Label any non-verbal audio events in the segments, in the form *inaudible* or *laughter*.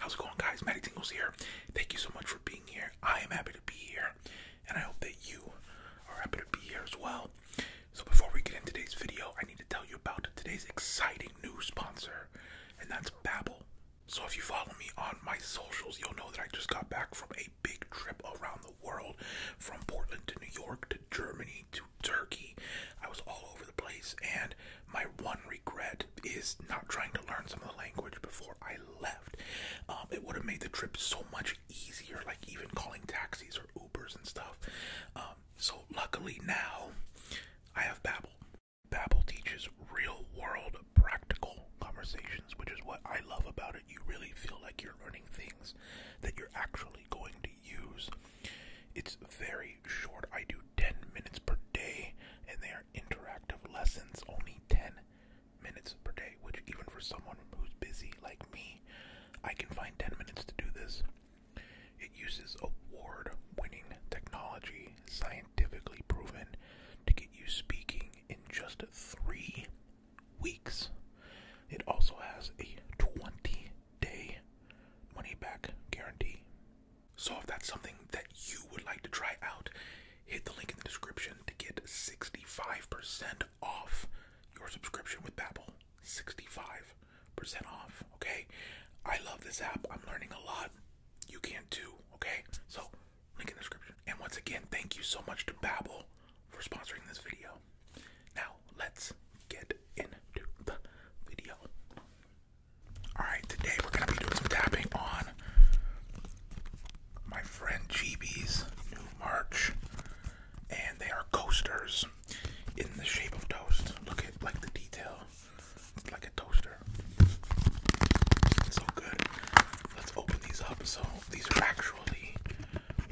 How's it going, guys? Matty Tingles here. Thank you so much for being here. I am happy to be here, and I hope that you are happy to be here as well. So, before we get into today's video, I need to tell you about today's exciting new sponsor, and that's Babbel. So if you follow me on my socials, you'll know that I just got back from a big trip around the world from Portland to New York to Germany to Turkey. I was all over the place and my one regret is not trying to learn some of the language before I left. Um, it would have made the trip so much easier, like even calling taxis or Ubers and stuff. Um, so luckily now I have Babbel. Babbel teaches real-world practical conversations, which is what I love about it. You really feel like you're learning things that you're actually going to use. It's very short. I do 10 minutes per day, and they are interactive lessons, only 10 minutes per day, which even for someone who's busy like me, I can find 10 minutes to do this. It uses award-winning technology scientifically proven to get you speaking in just three weeks. It also has a 20 day money back guarantee. So, if that's something that you would like to try out, hit the link in the description to get 65% off your subscription with Babbel. 65% off, okay? I love this app. I'm learning a lot. You can too, okay? So, Link in description. And once again, thank you so much to Babbel for sponsoring this video. Now, let's get into the video. Alright, today we're going to be doing some tapping on my friend GB's new merch. And they are coasters in the shape of toast. Look at like the detail. It's like a toaster. So good. Let's open these up. So these are actually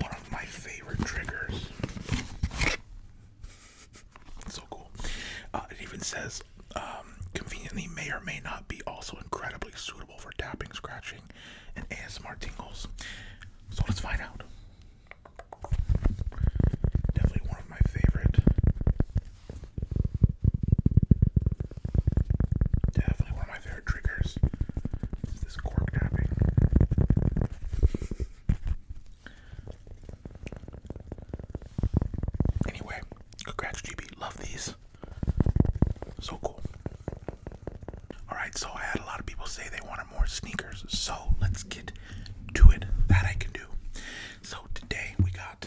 one of my favorite triggers. So cool. Uh, it even says um, conveniently may or may not be also incredibly suitable for tapping, scratching, and ASMR tingles. So let's find out. Definitely one of my favorite Definitely one of my favorite triggers is this cork tapping. Anyway, congrats GB, love these. So cool. Alright, so I had a lot of people say they wanted more sneakers, so let's get to it. That I can do. So today we got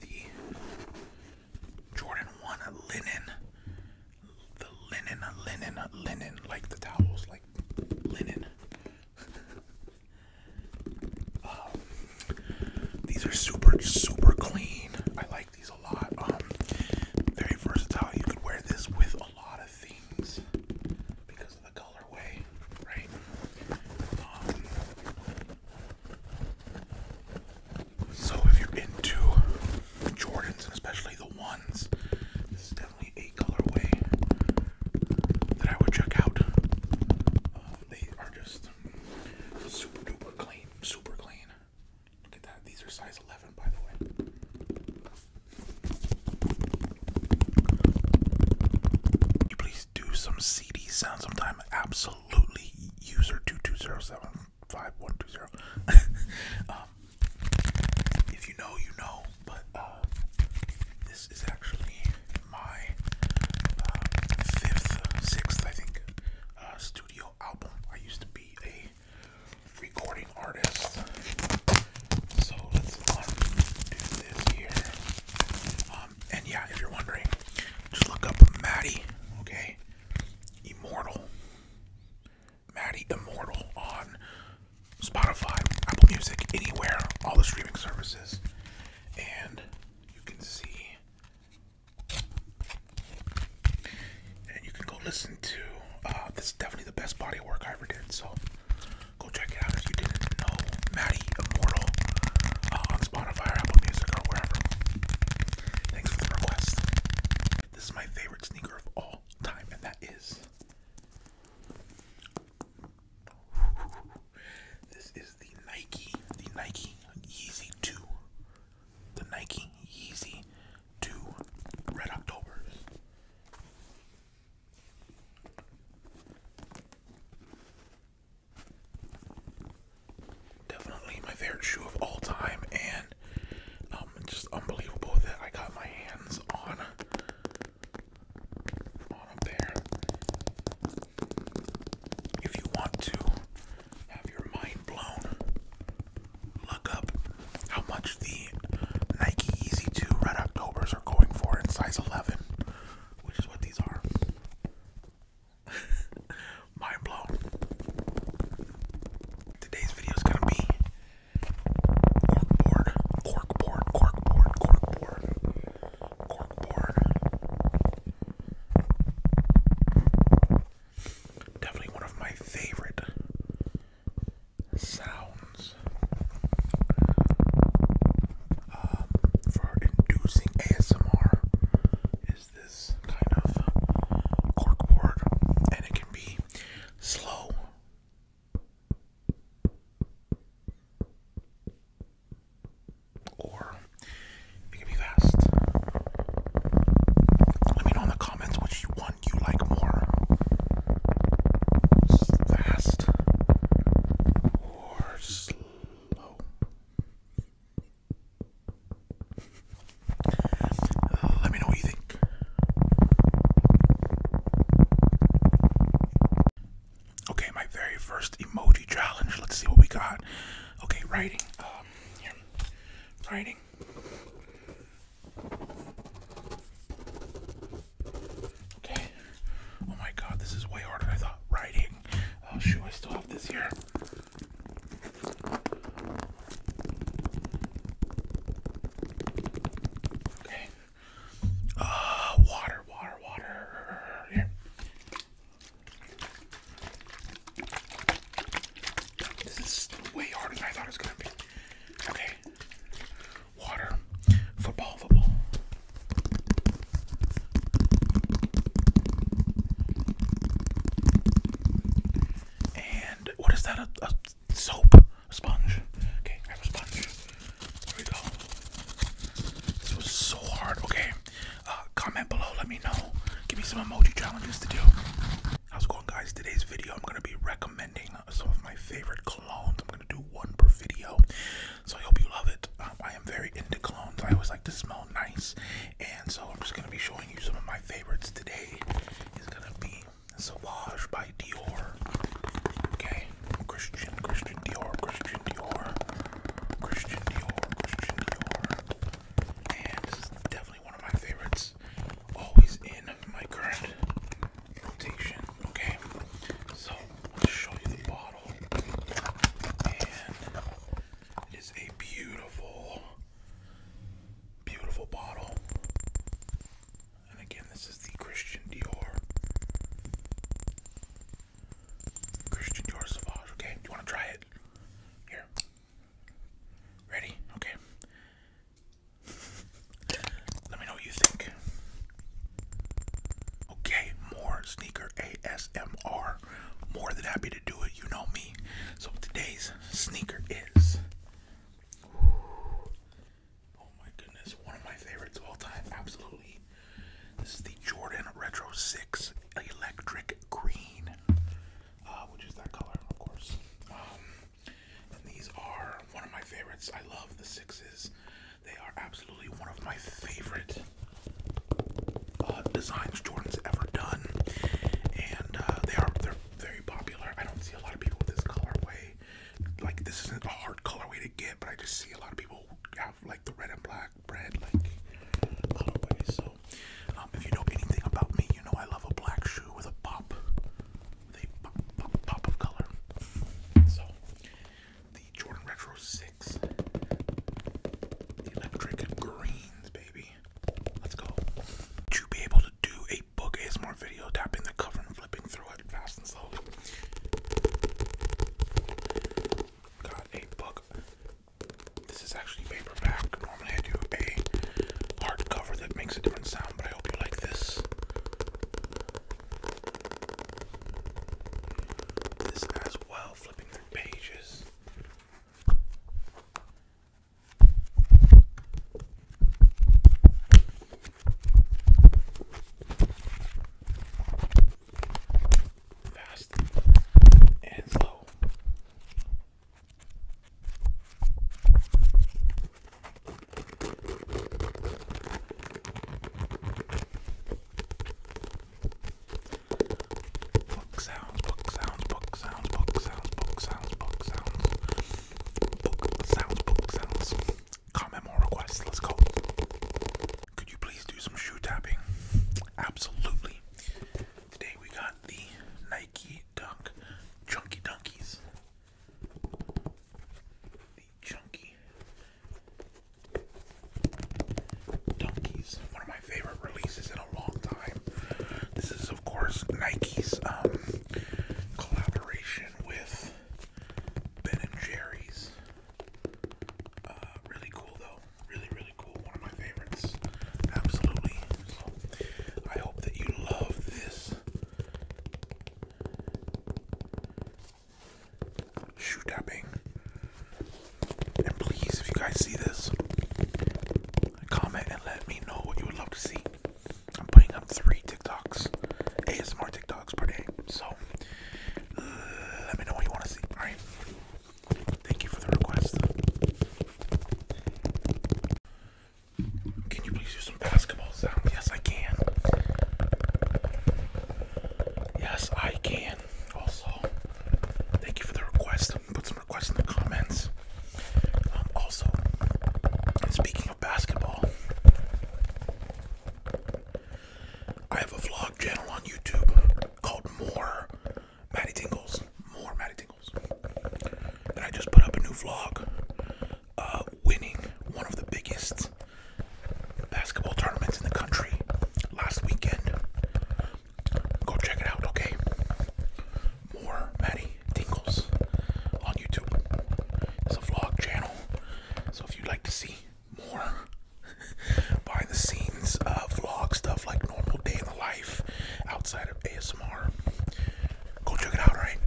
the Jordan 1 linen, the linen, linen, linen, like the towels, like linen. *laughs* Um, these are super, super clean. I like these a lot. Um, very versatile. You could wear this with a lot of things because of the colorway, right? Um, so if you're into Jordans, especially the ones, this is definitely a colorway that I would check out. Um, they are just super duper clean, super clean. Look at that. These are size 11, by the way. Could you please do some CD sound sometime? Absolutely absolutely user two two zero seven five one two zero. *laughs* Um, if you know, you know. But uh, this is actually my uh, fifth, sixth, I think, uh, studio album. I used to be a recording artist, so let's undo this here. Um, um, and yeah, if you're wondering, just look up Maddie, okay? Immortal. Maddie Immortal on Spotify, Apple Music, anywhere, all the streaming services. And you can see. And you can go listen to. Uh, this is definitely the best body of work I ever did, so go check it out if you didn't know. Maddie uh, on Spotify Apple Music or wherever. Thanks for the request. This is my favorite sneaker of all time, and that is. *laughs* This is the Nike, the Nike Yeezy 2. The Nike Yeezy 2 Red October. Definitely my favorite shoe of all time, and um, just unbelievable that I got my hands on on up If you want to have your mind blown, look up how much the Nike Easy 2 Red Octobers are going for in size 11, which is what these are. *laughs* Mind blown. Today's video is gonna be corkboard, corkboard, corkboard, corkboard, corkboard. Definitely one of my favorite sounds for inducing ASMR is this kind of corkboard, and it can be slow. Or it can be fast. Let me know in the comments which one you like more. Fast or slow. Uh, let me know what you think. Okay, my very first emoji challenge. Let's see what we got. Okay, writing. Um, Writing. Okay. Oh my god, this is way harder than I thought. Writing. Oh shoot, I still have this here. Okay. Uh, water, water, water. Here. This is way harder than I thought it was gonna be. Okay. Water. Football, football. And what is that? A, soap? A sponge? Okay, I have a sponge. Here we go. This was so hard. Okay, uh, comment below. Let me know. Give me some emoji challenges to do. How's going, guys? Today's video, I'm going to be recommending some of my favorite colognes. I'm going to do one per video. So I hope you love it. Um, I am very into colognes. I always like to smell nice, and so I'm just gonna be showing you some of my favorites today. Is gonna be Sauvage by Dior. Okay, Christian, Christian Dior, Christian Dior, Christian Dior, Christian Dior, and this is definitely one of my favorites. Always in my current rotation. Okay, so I'll show you the bottle bottle. And it is a beautiful, beautiful bottle. And again, this is the Christian Dior. Christian Dior Sauvage. Okay, do you want to try it? Here. Ready? Okay. *laughs* Let me know what you think. Okay, more sneaker ASMR. More than happy to do it, you know me. So today's sneaker is. Oh my goodness, one of my favorites of all time, absolutely. This is the Jordan Retro 6 Electric Green, uh, which is that color, of course. Um, and these are one of my favorites. I love the sixes. They are absolutely one of my favorite uh, designs Jordan's ever done, and uh, they are they're very popular. I don't see a lot of people with this colorway. Like this isn't a hard colorway to get, but I just see a lot of people have like the red and black bread like colorway. So um, if you know anything about me, you know I love a black shoe with a pop, with pop, pop, pop of color. So the Jordan Retro 6, the electric greens, baby. Let's go. Would be able to do a book ASMR video, tapping the cover and flipping through it fast and slow? Got a book. This is actually paperback. Normally I do a hardcover that makes a different sound, but I hope you like this. This as well, flipping through pages. Fast and slow. Book sounds, book sounds, book sounds, book sounds, book sounds, book sounds, book sounds, book sounds. Comment more requests, let's go. Could you please do some shoe tapping? Absolutely. Today we got the Nike Dunk Chunky Dunkies. The Chunky Dunkies, one of my favorite releases in a long time. This is, of course, Nike's um, collaboration with Ben and Jerry's. Uh, really cool, though. Really, really cool. One of my favorites. Absolutely. I hope that you love this shoe tapping. And please, if you guys see this, comment and let me know what you would love to see. I'm putting up three TikToks, ASMR TikToks per day. So let me know what you want to see. All right. Thank you for the request. Can you please do some basketball sound? Yes, I can. Yes, I can also, thank you for the request. Um, put some requests in the comments. Um, also, speaking of basketball, I have a vlog channel on YouTube called More Matty Tingles. More Matty Tingles. And I just put up a new vlog uh, winning one of the biggest basketball tournaments in the country last weekend. Go check it out, okay? More Maddie Tingles on YouTube. It's a vlog channel. So if you'd like to see more *laughs* behind the scenes uh, vlog stuff like normal day in the life outside of ASMR, go check it out, alright?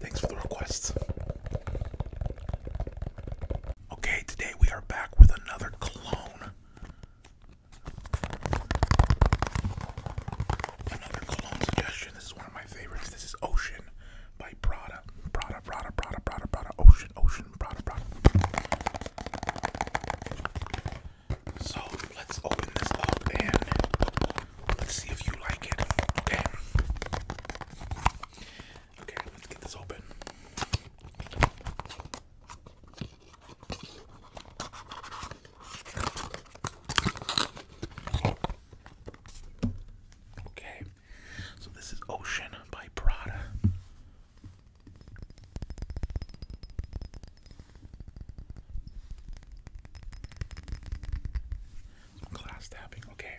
Thanks for the requests. Okay, today we are back with another clone. Another cologne suggestion. This is one of my favorites. This is Ocean by Prada. Prada, Prada, Prada, Prada, Prada, Ocean, Ocean, Prada, Prada. So let's open this up and let's see if you like it. Okay, let's get this open. Okay, so this is Ocean by Prada. Some tapping. Okay,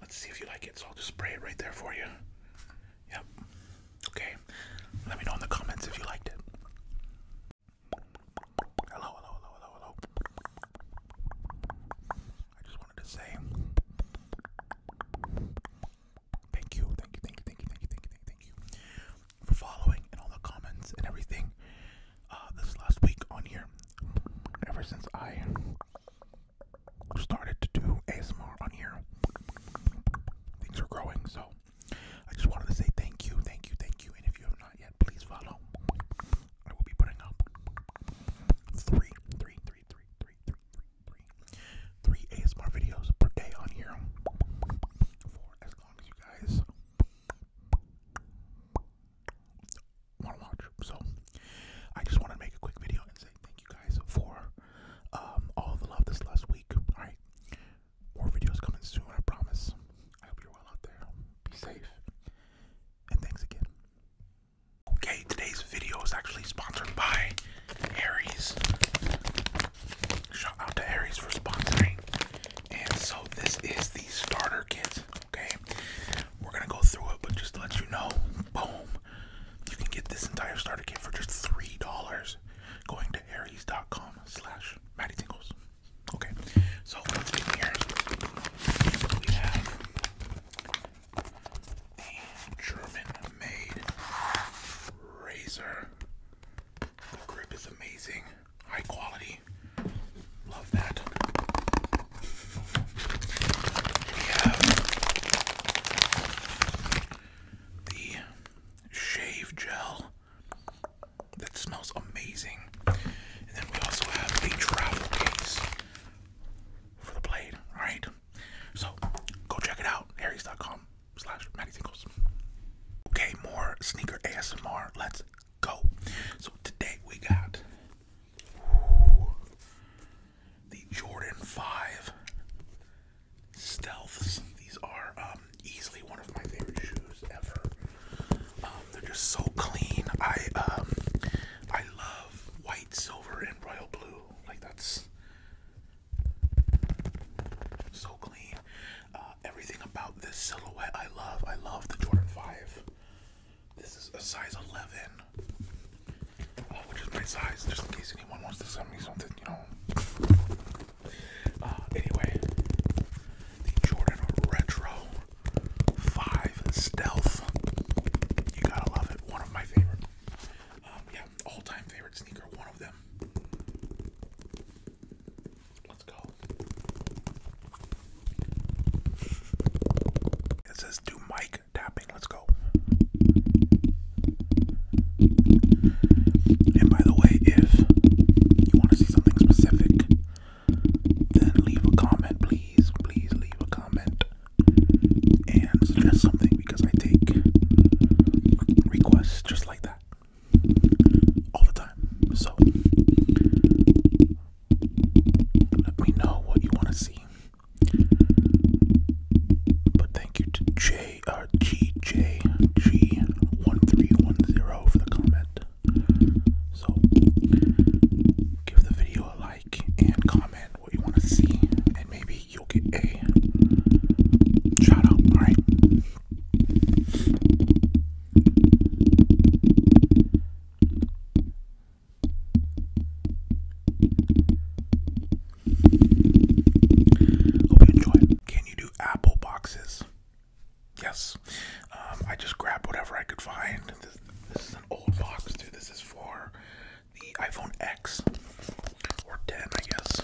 Let's see if you like it. So I'll just spray it right there for you. Yep. Okay. Let me know in the comments if you liked it. Hello, hello, hello, hello, hello. I just wanted to say thank you, thank you, thank you, thank you, thank you, thank you, thank you, for following and all the comments and everything uh, this last week on here. Ever since I started to do ASMR on here. Things are growing, so I just wanted to say thank you, thank you, thank you. And if you have not yet, please follow. I will be putting up three, three, three, three, three, three, three, three, three ASMR videos per day on here for as long as you guys want to watch. So I just want to make a quick video and say thank you guys for um, all the love this last week. All right, more videos coming soon. I promise. I hope you're well out there. Be safe. And thanks again. Okay, today's video is actually sponsored by Aries. Shout out to Aries for sponsoring. And so this is the starter kit. Okay, we're gonna go through it, but just to let you know, boom, you can get this entire starter kit for just three dollars going to Aries.com slash Matty Tingles. Okay, so what's in here? We have the German-made razor. The grip is amazing, high quality. Love that. And have the shave gel that smells amazing. And then we also have a travel case for the blade, alright? So go check it out, harrys.com slash Matty Singles. Okay, more sneaker ASMR. Let's go. So today we got the Jordan 5 Stealths. These are um, easily one of my favorite shoes ever. Um, they're just so clean. I um, I love white, silver, and royal blue. Like that's so clean. Uh, everything about this silhouette I love. I love the Jordan 5. This is a size 11, which is my size, just in case anyone wants to send me something, you know. Uh, anyway, the Jordan Retro 5 Stealth. You gotta love it. One of my favorite. Um, yeah, all time favorite sneaker, one of them. Let's go. It says, Do Mike tapping. Let's go. And by the way, if you want to see something specific, then leave a comment, please. Please leave a comment and suggest something because I take requests just like that all the time. So let me know what you want to see. But thank you to J R G J G one three one zero for the comment. So give the video a like and comment what you want to see, and maybe you'll get a shout All right. Can you do apple boxes? Yes. Um, I just grabbed whatever I could find. This, is an old box, too. This is for the iPhone X or 10, I guess.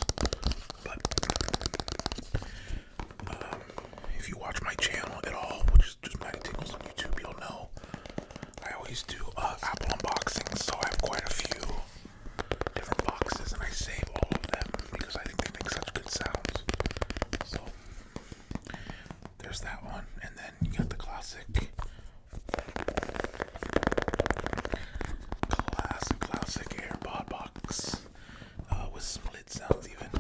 But um, if you watch my channel at all, which is just my Tingles on YouTube, you'll know I always do uh, Apple unboxing, so I have quite a few different boxes, and I save all of them because I think they make such good sounds. So there's that one, and then you got the classic, classic, classic AirPod box uh, with split sounds even.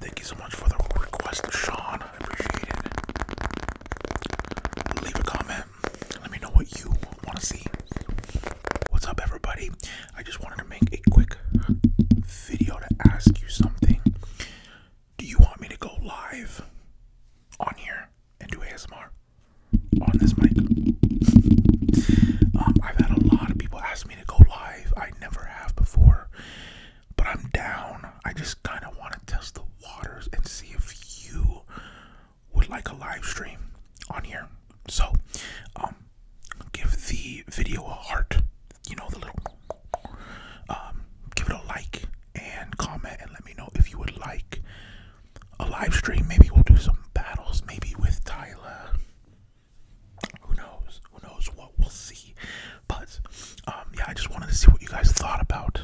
Thank you so much for the request, Sean. I appreciate it. Leave a comment. Let me know what you want to see. What's up, everybody? I just wanted to make a quick video to ask you something. Do you want me to go live on here and do ASMR on this mic? Um, I've had a lot of people ask me to go live. I never have before. But I'm down. I just kind of want to test the waters and see if you would like a live stream on here. So, um, give the video a heart. You know, the little. Um, give it a like and comment and let me know if you would like a live stream. Maybe we'll do some battles, maybe with Tyler who knows? Who knows what we'll see? But um, yeah, I just wanted to see what you guys thought about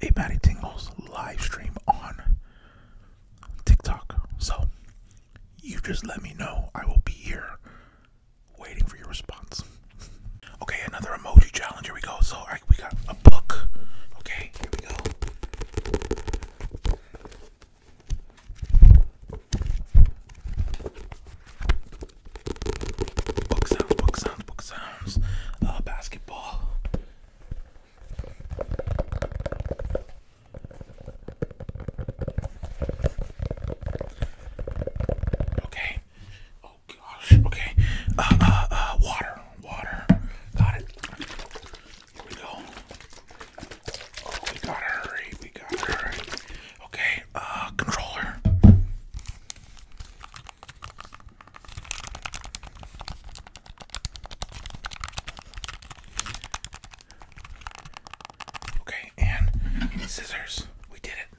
a Maddie Tingles live stream on TikTok. So you just let me know. I will be here waiting for your response. Okay, another emoji challenge. Here we go. So right, we got a book. Okay, here we go. Book sounds, book sounds, book sounds. Uh, basketball. Okay. Oh gosh. Okay. Uh, uh, uh, water, water. Got it. Here we go. we gotta hurry. We gotta hurry. Okay, uh, controller. Okay, and scissors. We did it.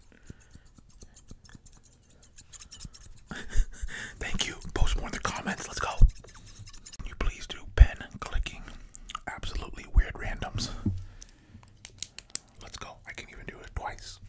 *laughs* Thank you. Post more in the comments. Let's go. Can you please do pen clicking? Absolutely weird randoms. Let's go. I can even do it twice.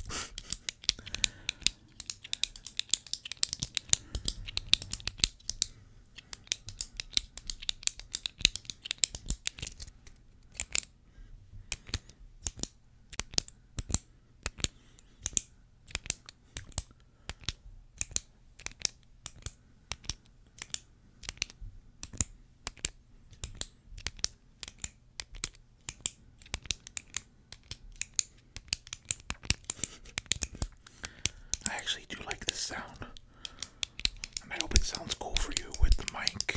I actually do like this sound, and I hope it sounds cool for you with the mic.